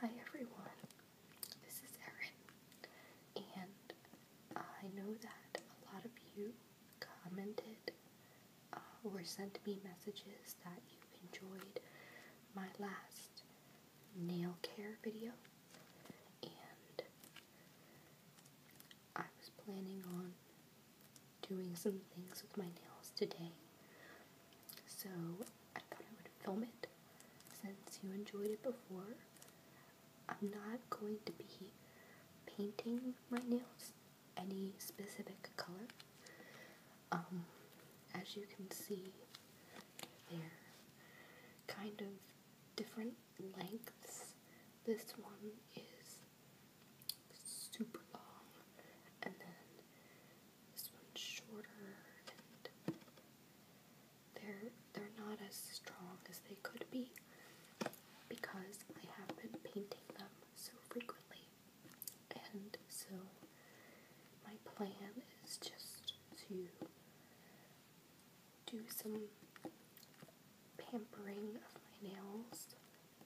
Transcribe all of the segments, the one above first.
Hi everyone, this is Erin, and I know that a lot of you commented uh, or sent me messages that you enjoyed my last nail care video, and I was planning on doing some things with my nails today, so I thought I would film it since you enjoyed it before. I'm not going to be painting my nails any specific color. Um, as you can see, they're kind of different lengths. This one is super long, and then this one's shorter and they're they're not as strong as they could be because I have been painting them so frequently. And so my plan is just to do some pampering of my nails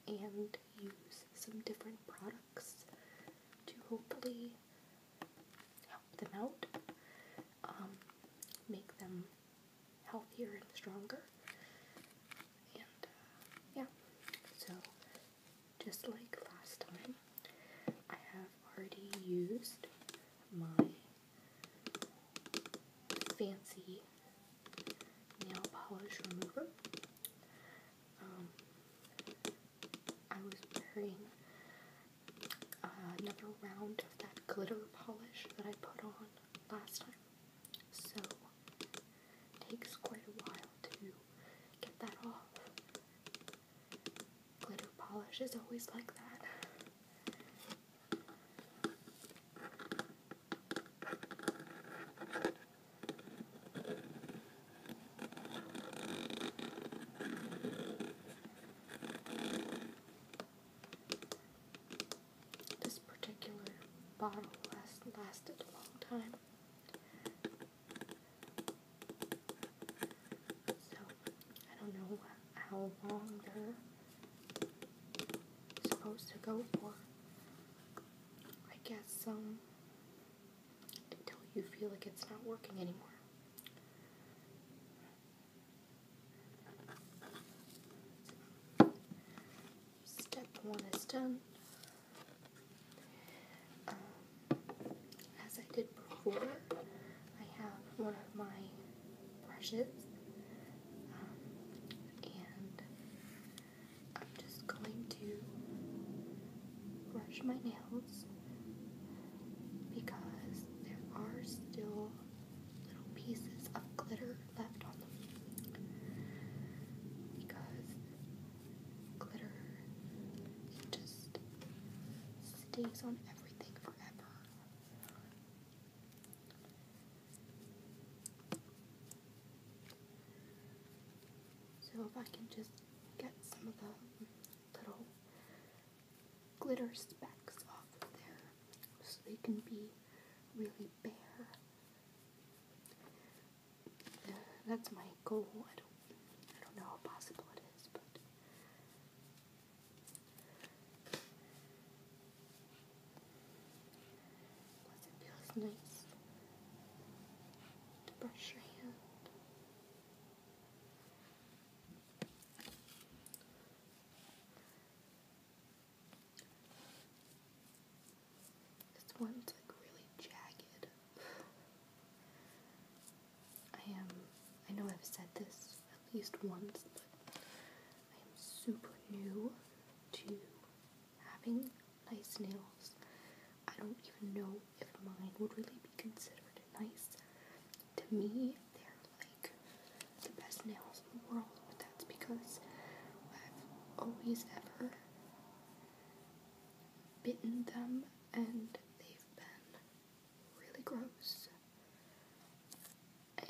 and use some different products to hopefully help them out, um, make them healthier and stronger. And uh, yeah, so just like last time, I have already used my fancy nail polish remover. Um, I was wearing uh, another round of that glitter polish that I put on last time. So, it takes quite a while to get that off. Glitter polish is always like that. This particular bottle last, lasted a long time. So, I don't know how long they're supposed to go for. I guess, some. Um, until you feel like it's not working anymore. Step one is done. Um, as I did before, I have one of my brushes, um, and I'm just going to brush my nails because there are still little pieces of glitter left on them. Because glitter, just stays on everything forever. So if I can just get some of the little glitter specks off of there so they can be really bare. that's my goal. I don't, know how possible it is, but. it feels nice to brush your hand. This one's like really jagged. I am, I know I've said this at least once, but I am super new to having nice nails. I don't even know if mine would really be considered nice. To me, they're like the best nails in the world, but that's because I've always ever bitten them and they've been really gross. And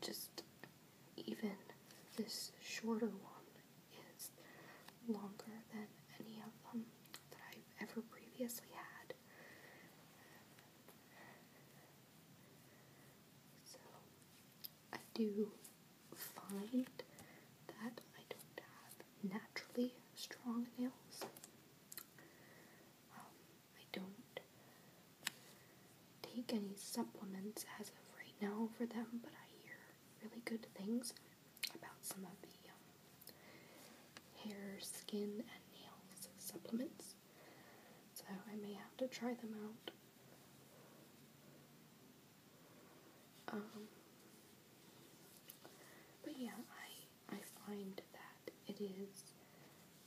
just even this shorter one is longer than any of them that I've ever previously had. So I do find that I don't have naturally strong nails. Um, I don't take any supplements as of right now for them, but I hear really good things about some of the um, hair, skin, and nails supplements. So I may have to try them out. Um, but yeah, I I find that it is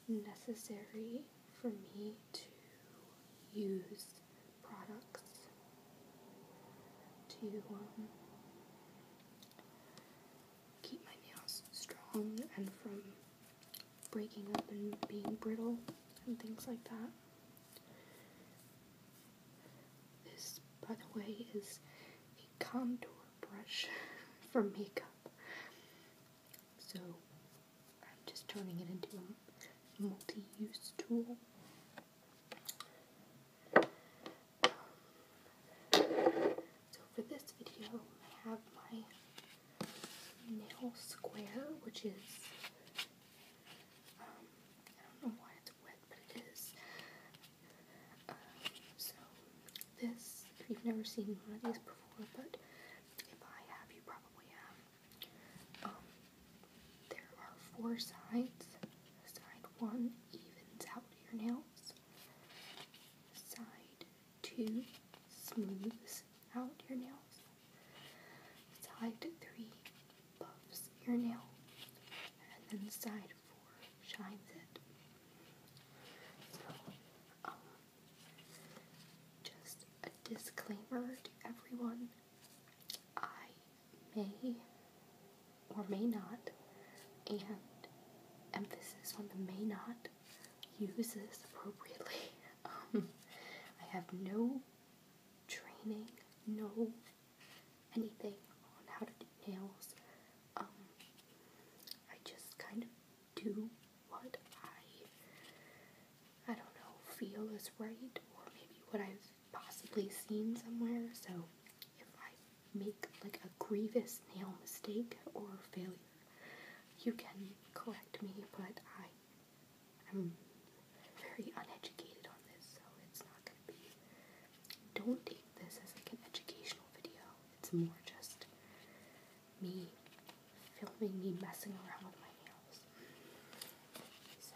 necessary for me to use products to um, keep my nails strong and from breaking up and being brittle and things like that. This, by the way, is a contour brush for makeup. So I'm just turning it into a multi use tool. So for this video, I have my nail square, which is, um, I don't know why it's wet, but it is. Uh, so this, if you've never seen one of these before, but if I have, you probably have. Um, there are four sides. Side one evens out your nails. Side two smooths out your nails. Side three buffs your nail. And then side four shines it. So, um, just a disclaimer to everyone I may or may not, and emphasis on the may not, use this appropriately. Um, I have no training, no anything on how to do nails. Um, I just kind of do what I I don't know, feel is right or maybe what I've possibly seen somewhere. So if I make like a grievous nail mistake or failure, you can correct me, but I I'm very uneducated on this, so it's not going to be. Don't take this as like an educational video. It's more just me filming me messing around with my nails. So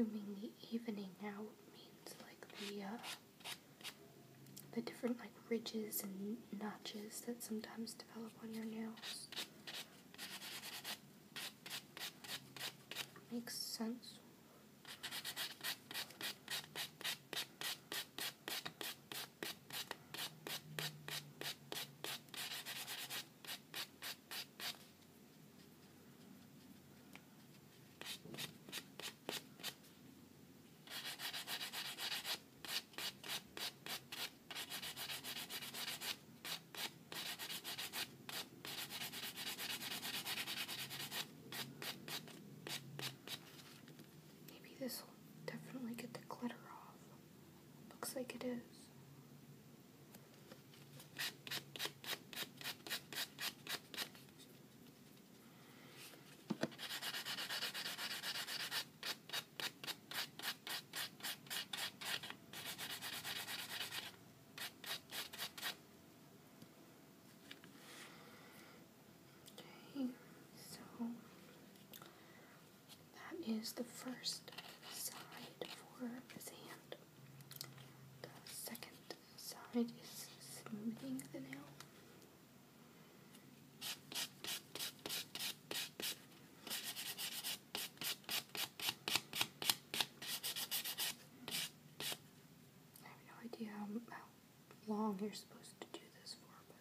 I'm assuming the evening out means like the uh, the different like ridges and notches that sometimes it's develop on your nails. Makes sense. Maybe this will definitely get the glitter off. Looks like it is so that is the first side for his hand. The second side is smoothing the nail. I have no idea how, long you're supposed to do this for, but.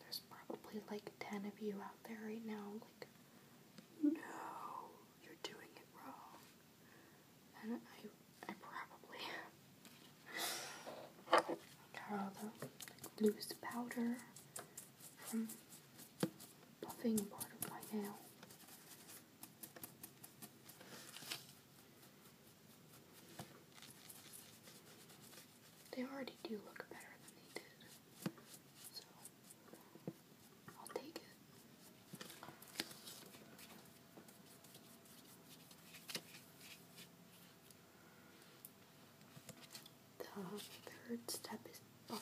There's probably like 10 of you out there right now, like, no, you're doing it wrong. And I, probably Got all the like, loose powder from buffing part of my nail. They already do look better than they did, so I'll take it. The third step is I'm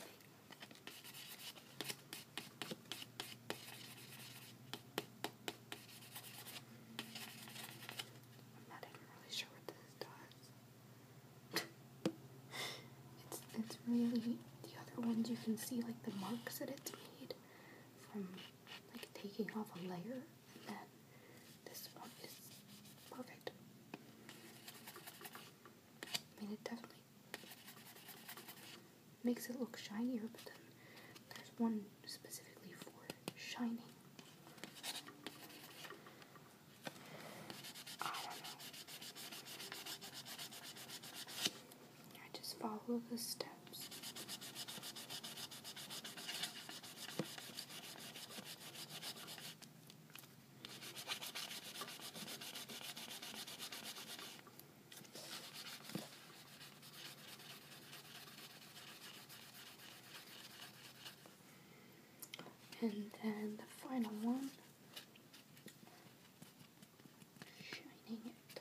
not even really sure what this does. it's it's really the other ones you can see like the marks that it's made from like taking off a layer and this one is perfect. I mean, it definitely makes it look shinier, but then there's one specifically for shining. I don't know. I just follow the steps. And then the final one, shining it.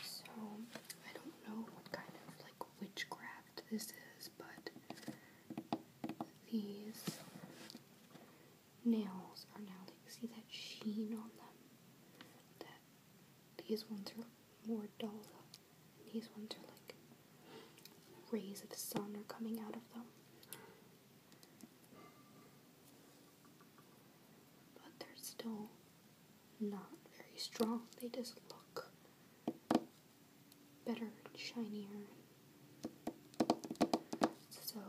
So, I don't know kind of like witchcraft this is, but these nails are now like, see that sheen on them? These ones are more dull, and these ones are like rays of sun are coming out of them. But they're still not very strong. They just look better shinier. So,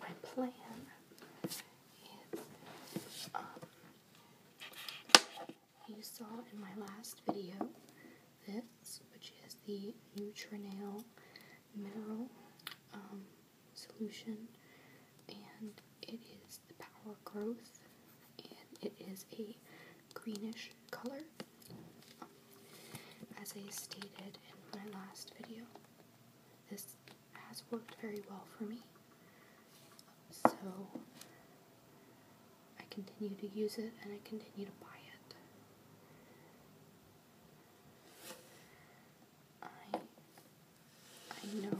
my plan is um, you saw in my last video this, which is the Nutrinail mineral um, solution, and it is the power growth, and it is a greenish color, as I stated in my last video. This has worked very well for me. So I continue to use it and I continue to buy it. I I know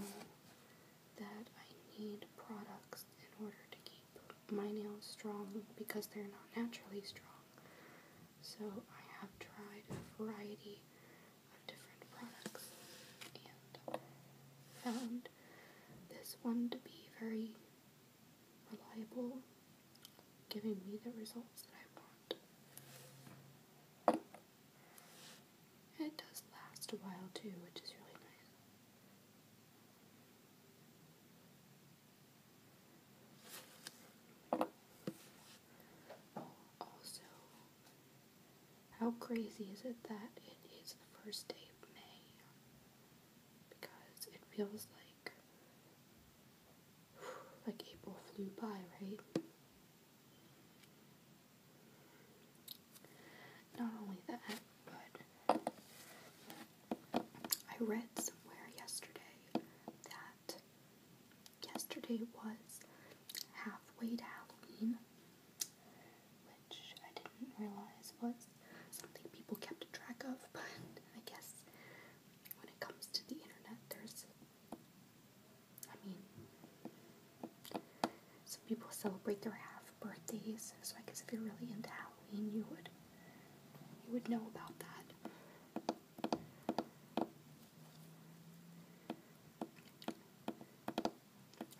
that I need products in order to keep my nails strong because they're not naturally strong. So I have tried a variety different products and found this one to be very reliable, giving me the results that I want. it does last a while too, which is really nice. Also, how crazy is it that it is the first day of May? Because it feels like like April flew by, right? Not only that, but I read somewhere yesterday that yesterday was halfway to Halloween, which I didn't realize was something people kept track of, but I guess when it comes to the internet, there's, I mean, some people celebrate their half birthdays, so I guess if you're really into Halloween, you would, you would know about that.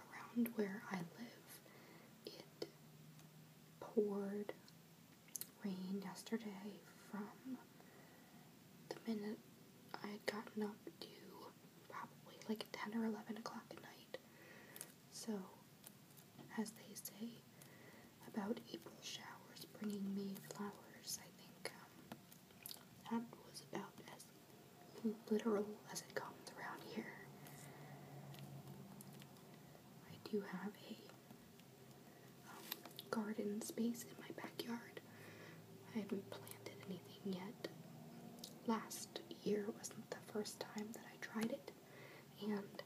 Around where I live, it poured rain yesterday from the minute I had gotten up to probably like 10 or 11 o'clock at night. So, as they say about April showers bringing May flowers, I think um, that was about as literal as it comes around here. I do have a um, garden space in my backyard. I haven't planted anything yet. Last year was not the first time that I tried it, and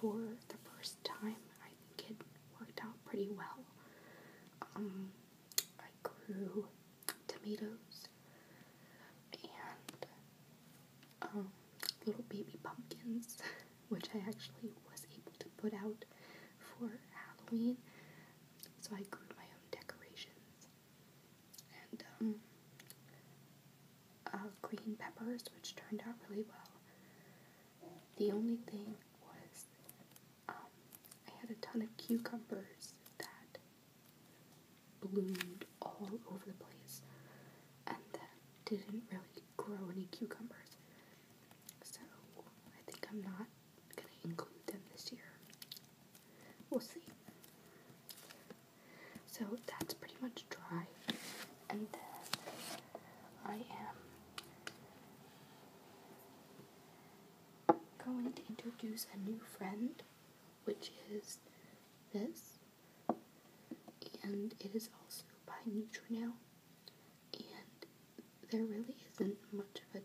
for the first time, I think it worked out pretty well. Um, I grew tomatoes, and um, little baby pumpkins, which I actually was able to put out for Halloween. So I grew my own decorations and um, uh, green peppers, which turned out really well. The only thing was I had a ton of cucumbers that bloomed all over the place and that didn't really grow any cucumbers. So I think I'm not gonna include them this year. We'll see. So that's pretty much dry. And then I am going to introduce a new friend, which is this, and it is also by Neutronow, and there really isn't much of a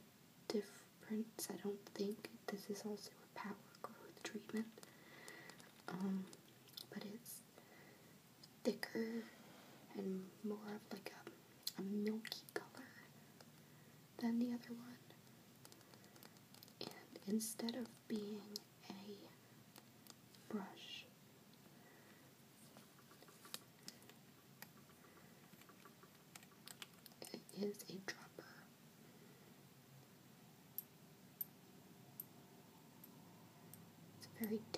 difference, I don't think. This is also a power growth treatment, um, but it's thicker and more of like a milky color, than the other one. And instead of being a brush, it is a dropper. It's very delicate.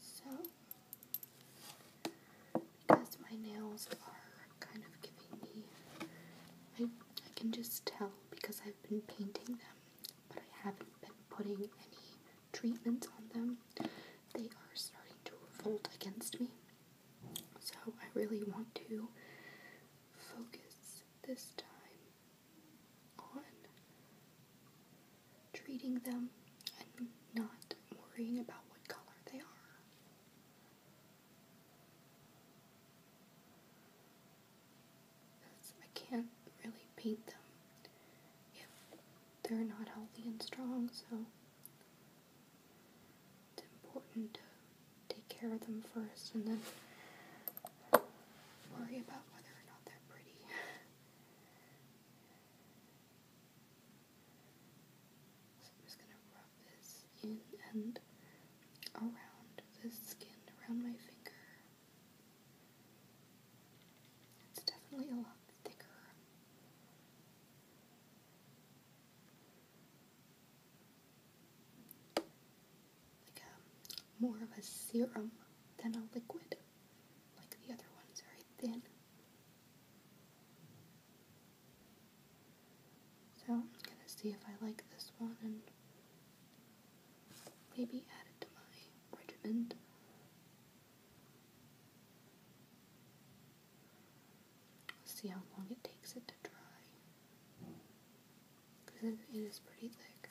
So, because my nails are kind of giving me, I, I can just tell because I've been painting them, but I haven't been putting any treatments on them. They are starting to revolt against me. So, I really want to focus this time on treating them and not worrying about what color they are. I can't really paint them if they're not healthy and strong, so it's important to take care of them first and then worry about whether or not they're pretty. I'm just gonna rub this in and around the skin, around my finger. It's definitely a lot thicker. Like um, more of a serum than a liquid like the other ones, very thin. So I'm gonna see if I like this one and maybe add it to my regiment. Let's see how long it takes it to dry. Because it is pretty thick.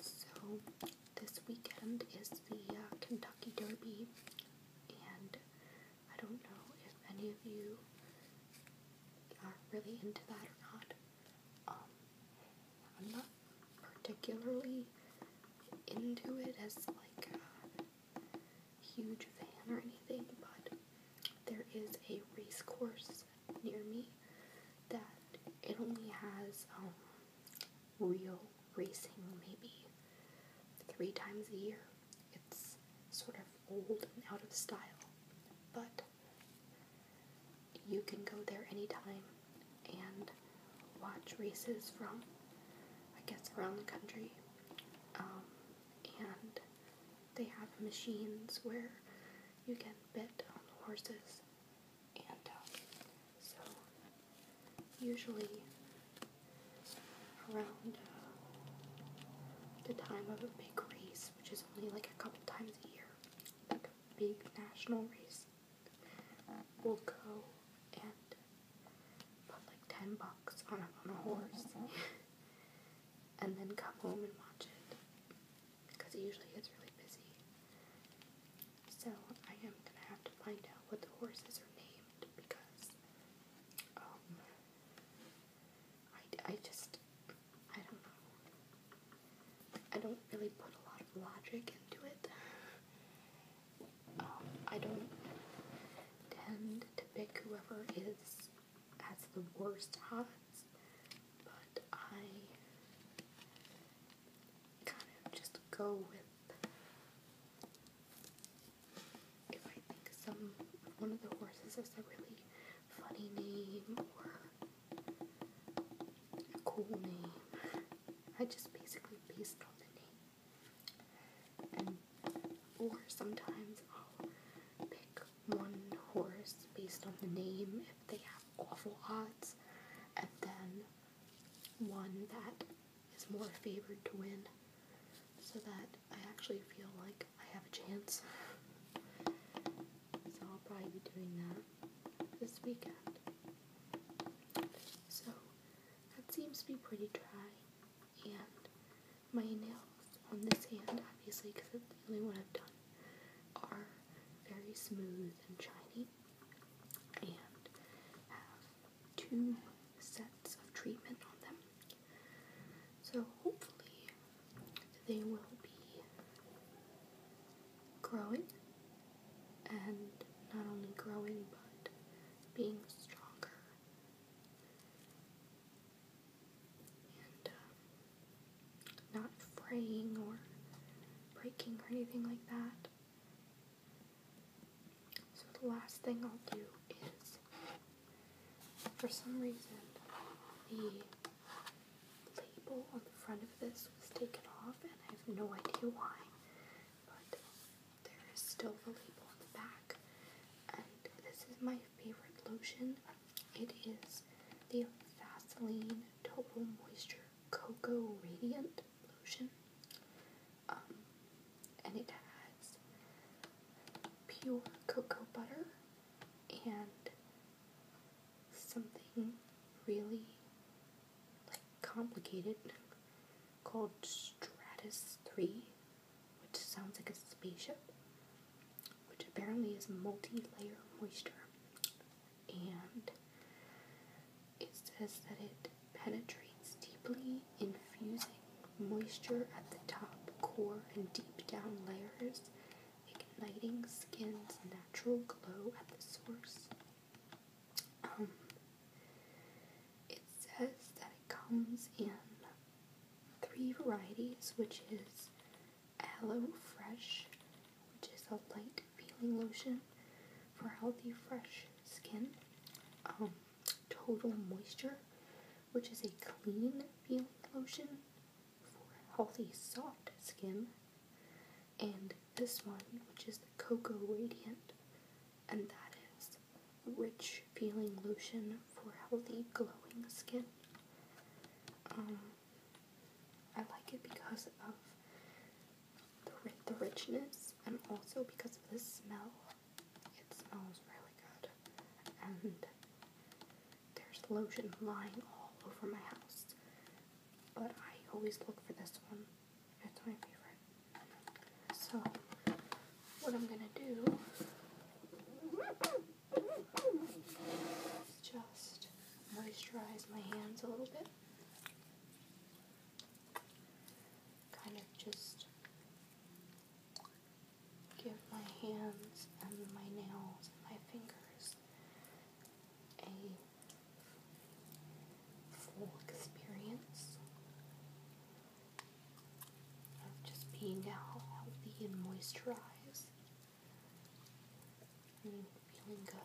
So, this weekend is the uh, Kentucky Derby, and I don't know if any of you are really into that or not. Um, I'm not particularly into it as like a huge fan or anything, but there is a race course near me that it only has um, real racing maybe three times a year. It's sort of old and out of style, but you can go there anytime and watch races from, I guess, around the country. Um, and they have machines where you can bet on horses. And uh, so, usually around uh, the time of a big race, which is only like a couple times a year, like a big national race, will go and put like 10 bucks on a, on a horse and then come home and watch it because it usually gets really busy. So I am going to have to find out what the horses are named because um, I, I just, I don't know. I don't really put a lot of logic into it. Um, I don't tend to pick whoever is has the worst odds, but I kind of just go with if I think some one of the horses has a really funny name or cool name. I just basically based on the name. And or sometimes I'll pick one horse based on the name if they have awful odds, and then one that is more favored to win, so that I actually feel like I have a chance. So I'll probably be doing that this weekend. So that seems to be pretty dry, and my nails on this hand, obviously, because it's the only one I've done, are very smooth and shiny, and have two sets of treatment on them. So hopefully they will be growing and not only growing but being stronger. And uh, not fraying or breaking or anything like that. So, the last thing I'll do is for some reason, the label on the front of this was taken off, and I have no idea why, but there is still the label on the back. And this is my favorite lotion. It is the Vaseline Total Moisture Cocoa Radiant Lotion. Um, and it has pure cocoa butter and something really like complicated called Stratus 3, which sounds like a spaceship, which apparently is multi-layer moisture. And it says that it penetrates deeply, infusing moisture at the top, core, and deep down layers, igniting skin's natural glow at the source. Um, it says that it comes in three varieties, which is Aloe Fresh, which is a light feeling lotion for healthy, fresh skin. Um, Total Moisture, which is a clean feeling lotion for healthy, soft skin. And this one, which is the Cocoa Radiant, and that is a rich feeling lotion for healthy, glowing skin. Um, I like it because of the, the richness and also because of the smell. It smells really good, and there's lotion lying all over my house but I always look for this one. It's my favorite. So, what I'm gonna do is just moisturize my hands a little bit. Kind of just give my hands and my nails and my fingers a full experience of just being healthy and moisturized and feeling good.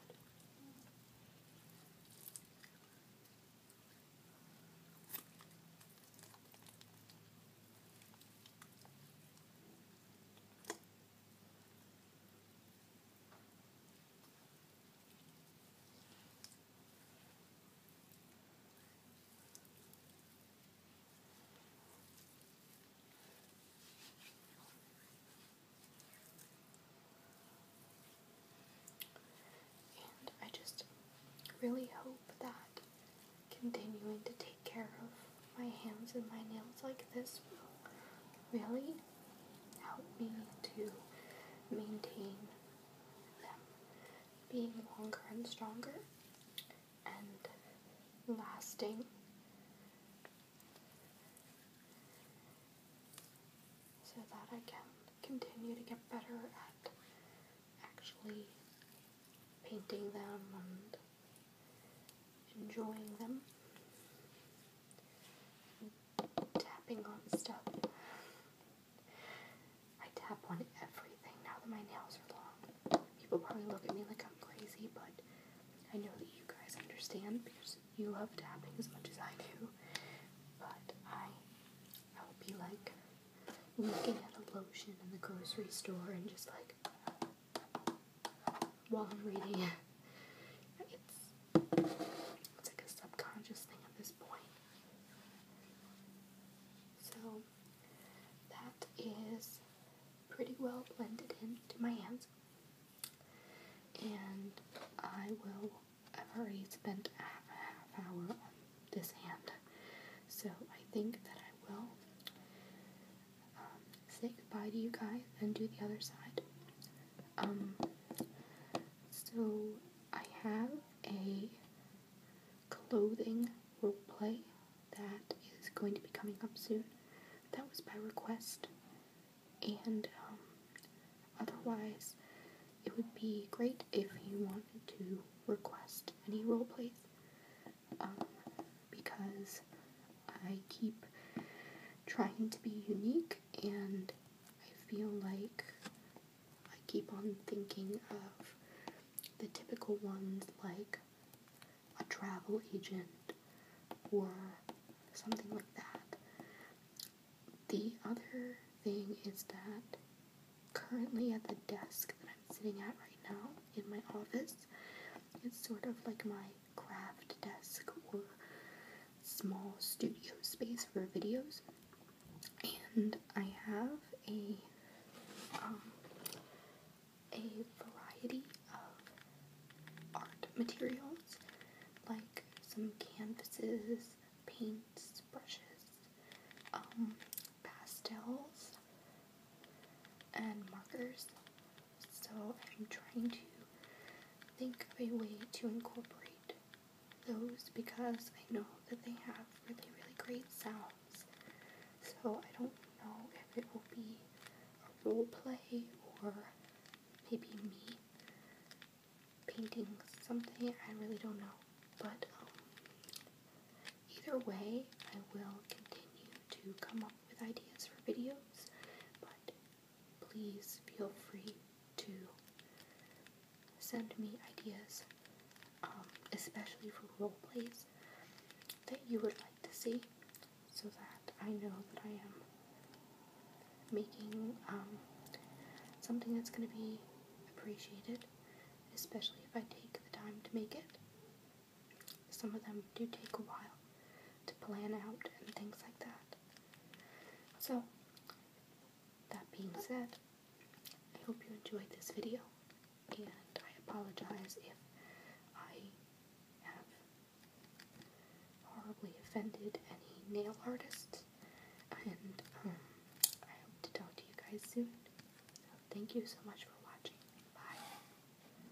I just really hope that continuing to take care of my hands and my nails like this will really help me to maintain them being longer and stronger and lasting. So that I can continue to get better at actually painting them and enjoying them, tapping on stuff. I tap on everything now that my nails are long. People probably look at me like I'm crazy, but I know that you guys understand because you love tapping as much as I do. But I, I would be like looking at a lotion in the grocery store and just like while I'm reading it. It's, it's like a subconscious thing at this point. So that is pretty well blended into my hands. And I will, I've already spent half, a half hour on this hand. So I think that I will um, say goodbye to you guys and do the other side. Um, so I have a clothing role play that is going to be coming up soon. That was by request, and um, otherwise, it would be great if you wanted to request any role plays because I keep trying to be unique, and I feel like I keep on thinking of the typical ones like a travel agent or something like that. The other thing is that currently at the desk that I'm sitting at right now in my office, it's sort of like my craft desk or small studio space for videos. And I have a um, a variety of art materials like some canvases, paints, brushes, um, pastels, and markers. So I'm trying to think of a way to incorporate those because I know that they have really, really great sounds. So I don't know if it will be a role play or maybe me painting something. I really don't know. But um, either way, I will continue to come up with ideas for videos, but please feel free to send me ideas, um, especially for role plays that you would like to see, so that I know that I am making um, something that's going to be appreciated, especially if I take the time to make it. Some of them do take a while to plan out and things like that. So, that being said, I hope you enjoyed this video, and I apologize if I have horribly offended any nail artists, and um, I hope to talk to you guys soon. thank you so much for watching. Bye.